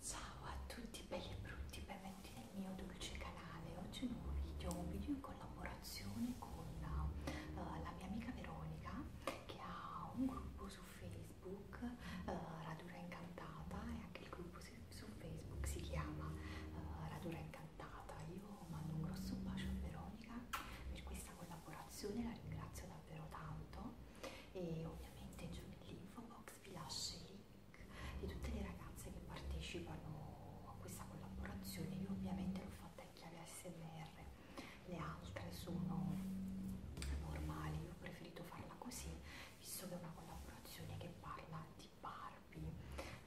Ciao a tutti belli e brutti, benvenuti nel mio dolce canale. Oggi un nuovo video, un video in collaborazione con uh, la mia amica Veronica che ha un gruppo su Facebook, uh, Radura Incantata e anche il gruppo su, su Facebook si chiama uh, Radura Incantata. Io mando un grosso bacio a Veronica per questa collaborazione, la ringrazio davvero davvero tanto e ovviamente giù nell'info box vi lascio i link di tutte le ragazze che partecipano a questa collaborazione, io ovviamente l'ho fatta in chiave ASMR, le altre sono normali, io ho preferito farla così visto che è una collaborazione che parla di Barbie.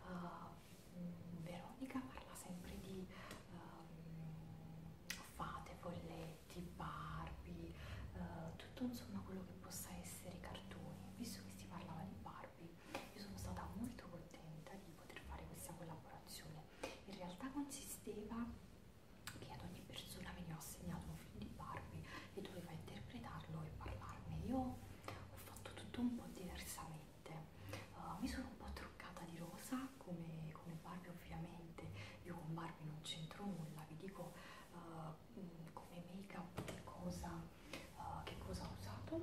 Uh, Veronica parla sempre di um, fate, folle fumetti, Barbie, eh, tutto insomma quello che possa essere cartoni, visto che si parlava di Barbie, io sono stata molto contenta di poter fare questa collaborazione. In realtà consisteva che ad ogni persona veniva assegnato un film di Barbie e doveva interpretarlo e parlarne. Io ho fatto tutto un po' diversamente, uh, mi sono un po' truccata di rosa realtà come, come Barbie ovviamente, io con Barbie non c'entro nulla, vi dico uh, come make up che cosa, uh, che cosa ho usato,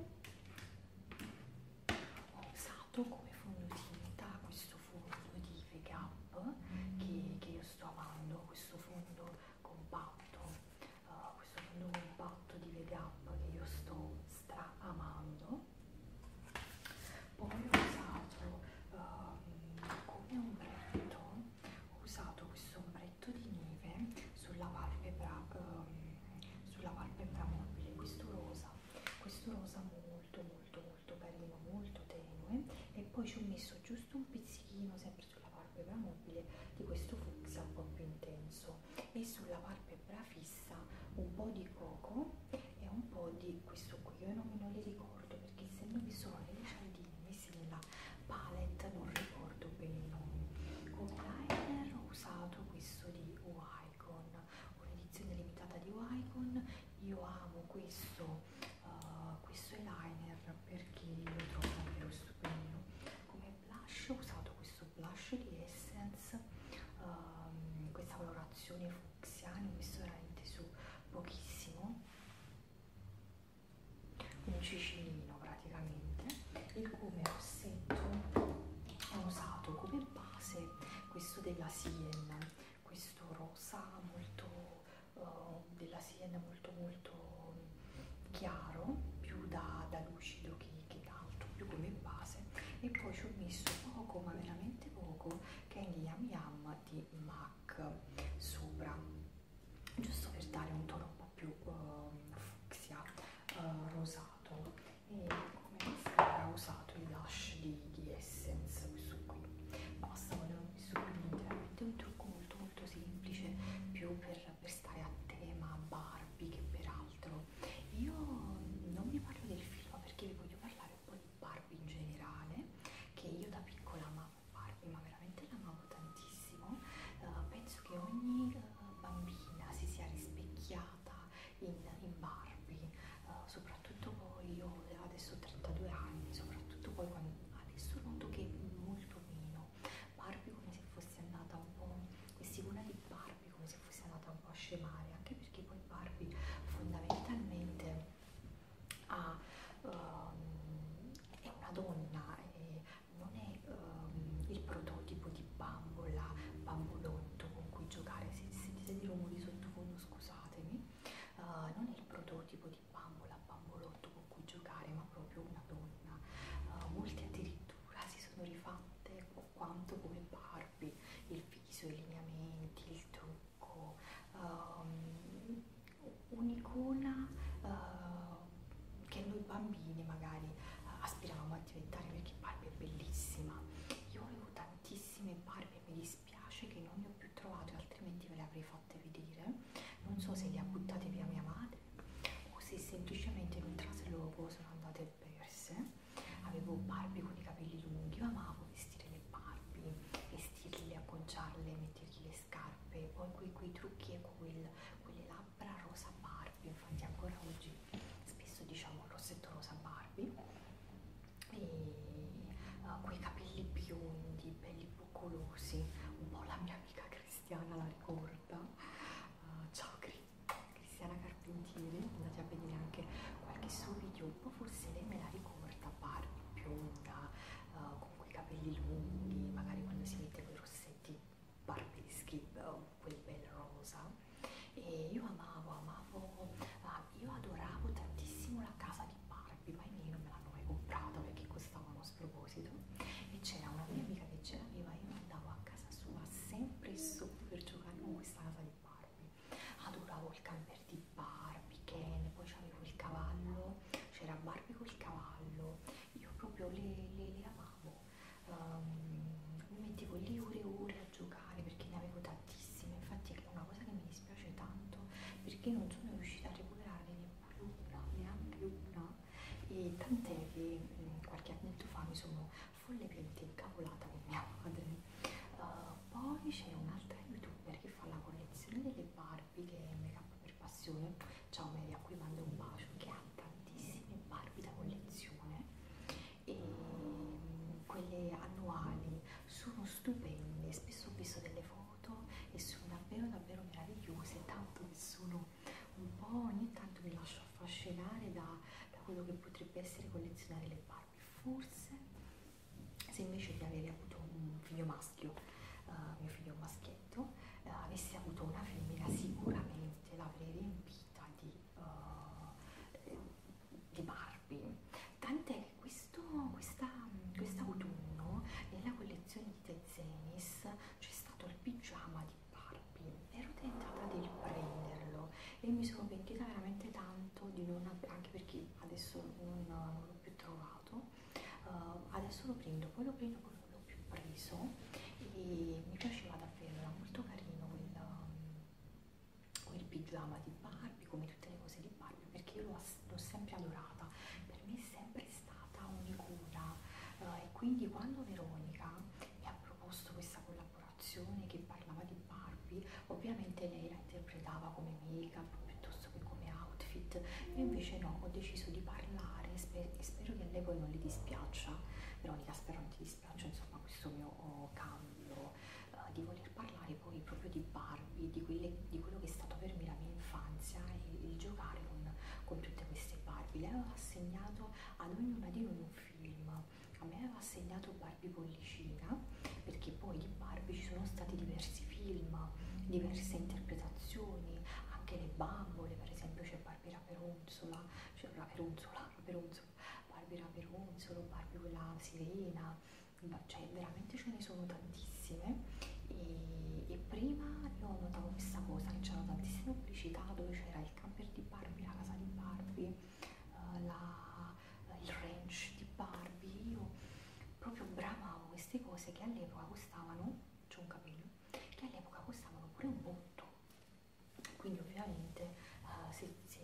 ho usato come fondotinta questo fondo di Vega Up che, che io sto amando, questo fondo compatto, uh, questo fondo compatto di Vega Up che io sto stra amando poi ho usato uh, come ombretto, ho usato questo ombretto di neve sulla palpebra, uh, ehm, sulla palpebra mobile, questo rosa, questo rosa molto molto molto carino, molto tenue e poi ci ho messo giusto un pizzichino sempre sulla palpebra mobile di questo fucsia un po' più intenso e sulla palpebra fissa un po' di coco e un po' di questo qui, io non, non li ricordo perché essendo vi sono le lucentine messe nella palette non ricordo bene i nomi. Come liner ho usato questo di Wycon, un'edizione limitata di Wycon, io amo questo, uh, questo eyeliner perché lo trovo davvero stupendo. Come blush ho usato questo blush di Essence, um, questa colorazione Xiani ho visto veramente su pochissimo un cicinino praticamente il come rossetto ho usato come base questo della Sien questo rosa molto uh, della Sien molto molto mm, chiaro più da, da lucido che, che da altro più come base e poi ci ho messo poco ma veramente poco che è il Yam Yam di MAC sopra, giusto per dare un tono un po' più uh, fucsia, uh, rosato. E come mascara ho usato il Lash di, di Essence, questo qui. Basta, volevo messo qui veramente un trucco molto molto semplice, più per, per stare a tema Barbie che peraltro. Io non vi parlo del film perché vi voglio parlare parlare un po' di Barbie in generale, che io da piccola amavo Barbie, ma veramente l'amavo tantissimo. Uh, penso che ogni uh, bambina si sia rispecchiata in, in Barbie, uh, soprattutto poi io adesso ho 32 anni, soprattutto poi quando adesso noto che molto meno Barbie come se fosse andata un po' questi una di Barbie Barbie come se fosse andata un po' a scemare, anche perché poi Barbie fondamentalmente ha, um, è una donna e non è um, il prototipo di bambola, bambolotto con cui giocare, se sentite di rumori sottofondo scusatemi, uh, non è il prototipo di bambola, bambolotto con cui giocare, ma proprio una donna. Uh, molte addirittura si sono rifatte quanto come Barbie, il viso, i lineamenti, il trucco, um, un'icona uh, che noi bambini magari eh, aspiravamo a diventare perché Barbie è bellissima. Io avevo tantissime Barbie e mi dispiace che non ne ho più trovate, altrimenti ve le avrei fatte vedere. Non so se le ha buttate via mia madre o se semplicemente in un trasloco sono andate perse avevo Barbie con i capelli lunghi, amavo vestire le Barbie, vestirle, acconciarle, mettergli le scarpe, poi quei, quei trucchi e quel, quelle labbra rosa Barbie, infatti ancora oggi spesso diciamo il rossetto rosa Barbie, e uh, quei capelli biondi, belli boccolosi, un po' la mia amica Cristiana la ricorda, uh, ciao Cristiana Cristiana Carpentieri, andate a vedere anche qualche suo video, un po' forse lei me la ricorda, Barbie bionda, uh, con quei capelli lunghi, magari quando si mette quei rossetti barbeschi, uh, eh, quel bel rosa. E io amavo, amavo, uh, io adoravo tantissimo la casa di Barbie, ma i miei non me l'hanno mai comprata perché costavano a sproposito. E c'era una mia amica che ce l'aveva, io andavo a casa casa sua sempre e solo per giocare con questa casa di Barbie. Adoravo il camper di Barbie, Ken, poi c'avevo il cavallo, c'era Barbie col cavallo, io proprio le, le, le amavo. Um, mi mettevo lì ore e ore a giocare perché ne avevo tantissime, infatti è una cosa che mi dispiace tanto perché non sono riuscita a recuperare neppure una, neanche una e tant'è che mh, qualche annetto fa mi sono folle più incavolata con mia madre. Uh, poi c'è un'altra youtuber che fa la collezione delle Barbie che è Make Up per Passione. Ciao Mary, a cui mando un bacio, che ha tantissime Barbie da collezione e mm, quelle annuali sono stupende. Spesso ho visto delle foto e sono davvero davvero meravigliose, tanto che sono sono un po' ogni tanto mi lascio affascinare da, da quello che potrebbe essere collezionare le Barbie. Forse se invece di avere avuto un figlio maschio, uh, mio figlio maschietto, uh, avessi avuto una femmina sicuramente l'avrei riempita di, uh, di Barbie. Tant'è che questo, questa, quest'autunno nella collezione di Tezenis c'è stato il pigiama di Barbie ero tentata di prenderlo e mi sono pentita veramente tanto di non anche perché adesso non, non l'ho più trovato uh, adesso lo prendo poi lo prendo poi non l'ho più preso e mi piaceva davvero era molto carino quel, ehm, quel pigiama di Barbie come tutte le cose di Barbie perché io l'ho sempre adorata per me è sempre stata unicura eh, e quindi quando Veronica mi ha proposto questa collaborazione che parlava di Barbie, ovviamente lei la interpretava come make-up piuttosto che come outfit, io invece no, ho deciso di parlare sper e spero che a lei poi non le dispiaccia, Veronica spero non ti dispiaccia insomma questo mio oh, cambio eh, di voler parlare poi proprio di Barbie, di, quelle, di quello che è stato per me la mia infanzia e il giocare con, con tutte queste Barbie. Lei aveva assegnato ad ognuna di noi un film. A me aveva assegnato Barbie Pollicina, perché poi di Barbie ci sono stati diversi film, diverse interpretazioni, anche le bambole, per esempio c'è Barbie Raperonzola, cioè Raperonzola, Raperonzola, Barbie Raperonzolo, Barbie quella sirena, cioè veramente ce ne sono tantissime e, e prima io notavo questa cosa che c'era tantissima pubblicità dove c'era il camper di Barbie, la casa di Barbie, eh, la, eh, il ranch di Barbie, io proprio bramavo queste cose che all'epoca costavano, c'è un capello, che all'epoca costavano pure un botto, quindi ovviamente eh, se, se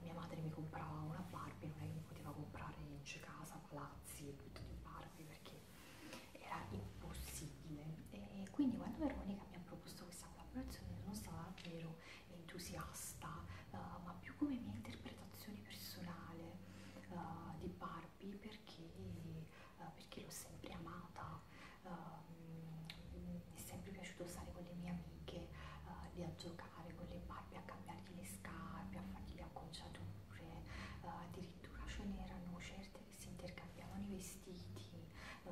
mia madre mi comprava una Barbie non è che mi poteva comprare in casa, palazzi e tutto di Barbie perché era impossibile e quindi quando Veronica mi ha proposto questa collaborazione non stava davvero entusiasta uh, ma più come mia interpretazione personale uh, di Barbie perché, uh, perché l'ho sempre amata uh, mi è sempre piaciuto stare con le mie amiche uh, lì a giocare con le Barbie a cambiargli le scarpe a fargli le acconciature uh, a dire addirittura ce n'erano certe che si intercambiavano i vestiti,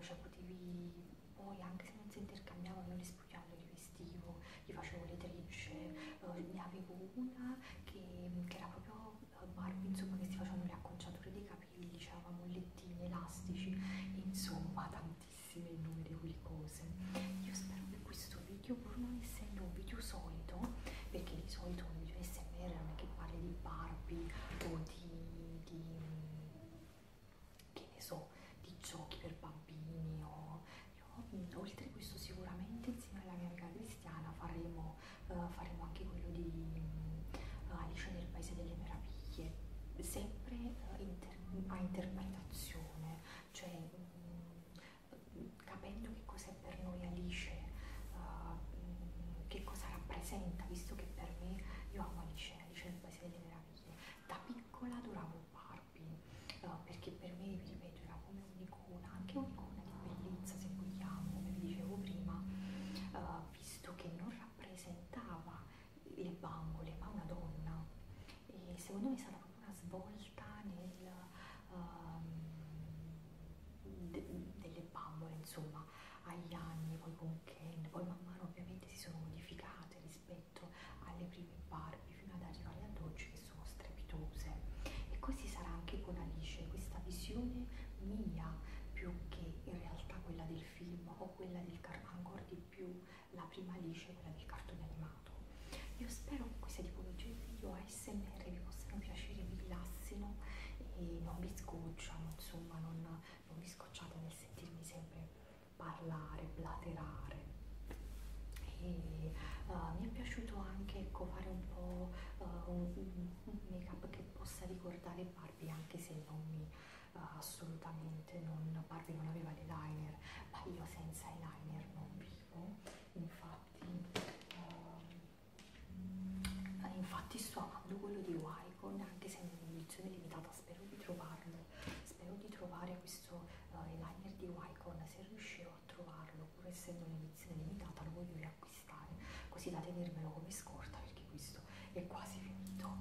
cioè potevi poi anche se non si intercambiavano le spugliavo li vestivo, gli facevo le trecce, eh, ne avevo una che, che era proprio eh, Barbie, insomma che si facevano le acconciature dei capelli, c'erano mollettini, elastici, insomma tantissime innumerevoli cose. Io spero che questo video io pur non essendo un video solito, perché di solito un video SMR non è che parli di Barbie o di, di che ne so, di giochi per bambini o io, oltre a questo sicuramente insieme alla mia amica Cristiana faremo, uh, faremo anche quello di uh, Alice nel Paese delle Meraviglie, sempre uh, inter a interpretazione, cioè um, capendo che cos'è per noi Alice, uh, che cosa rappresenta, visto che per me io amo Alice, Alice nel Paese delle Meraviglie. Da piccola adoravo Barbie, uh, perché per me, vi ripeto, era come un'icona, anche un'icona di bellezza se vogliamo, come vi dicevo prima, uh, visto che non rappresentava le bambole, ma una donna. E secondo me è stata una svolta nel, uh, de, delle bambole, insomma, agli anni, poi con Ken, poi man mano ovviamente si sono modificate rispetto alle prime Barbie fino ad arrivare ad oggi che sono strepitose. E così sarà anche con Alice, questa visione mia più che in realtà quella del film o quella del cartone, ancora di più la prima Alice, quella del cartone animato amato. Io spero che queste tipologie di video ASMR vi possano piacere, vi rilassino e non vi scocciano, insomma, non, non vi scocciate nel sentirmi sempre parlare, blaterare. E uh, mi è piaciuto anche ecco, fare un po' uh, un, un make up che possa ricordare Barbie, anche se non mi uh, assolutamente non Barbie non aveva l'eyeliner, ma io senza eyeliner non vivo infatti, uh, infatti sto amando quello di Wycon anche se è un'edizione limitata spero di trovarlo spero di trovare questo uh, eh, liner di Wycon se riuscirò a trovarlo pur essendo un'edizione limitata lo voglio riacquistare così da tenermelo come scorta perché questo è quasi finito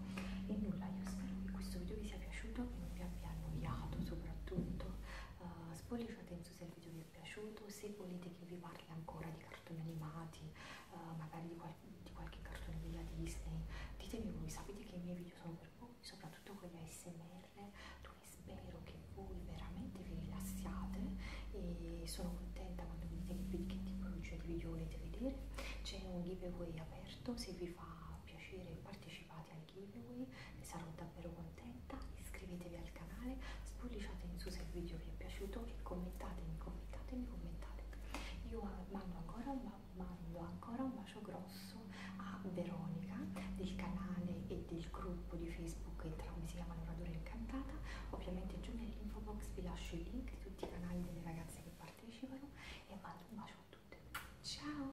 e nulla io spero che questo video vi sia piaciuto che non vi abbia annoiato soprattutto Uh, eh, spolliciate in su se il video vi è piaciuto, se volete che vi parli ancora di cartoni animati, uh, magari di, qual di qualche cartone della Disney, ditemi voi, sapete che i miei video sono per voi, soprattutto con gli ASMR, dove spero che voi veramente vi rilassiate e sono contenta quando mi dite che tipologia di video volete vedere, c'è un giveaway aperto se vi fa piacere partecipare partecipate al giveaway, ne sarò davvero contenta, iscrivetevi al canale, spolliciate in su se il video vi è piaciuto e commentatemi, commentatemi, commentate. Io mando ancora un, mando ancora un bacio grosso a Veronica del canale e del gruppo di Facebook, entrambi si chiamano Radura Incantata, ovviamente giù nell'info box vi lascio i link di tutti i canali delle ragazze che partecipano e mando un bacio a tutte. Ciao!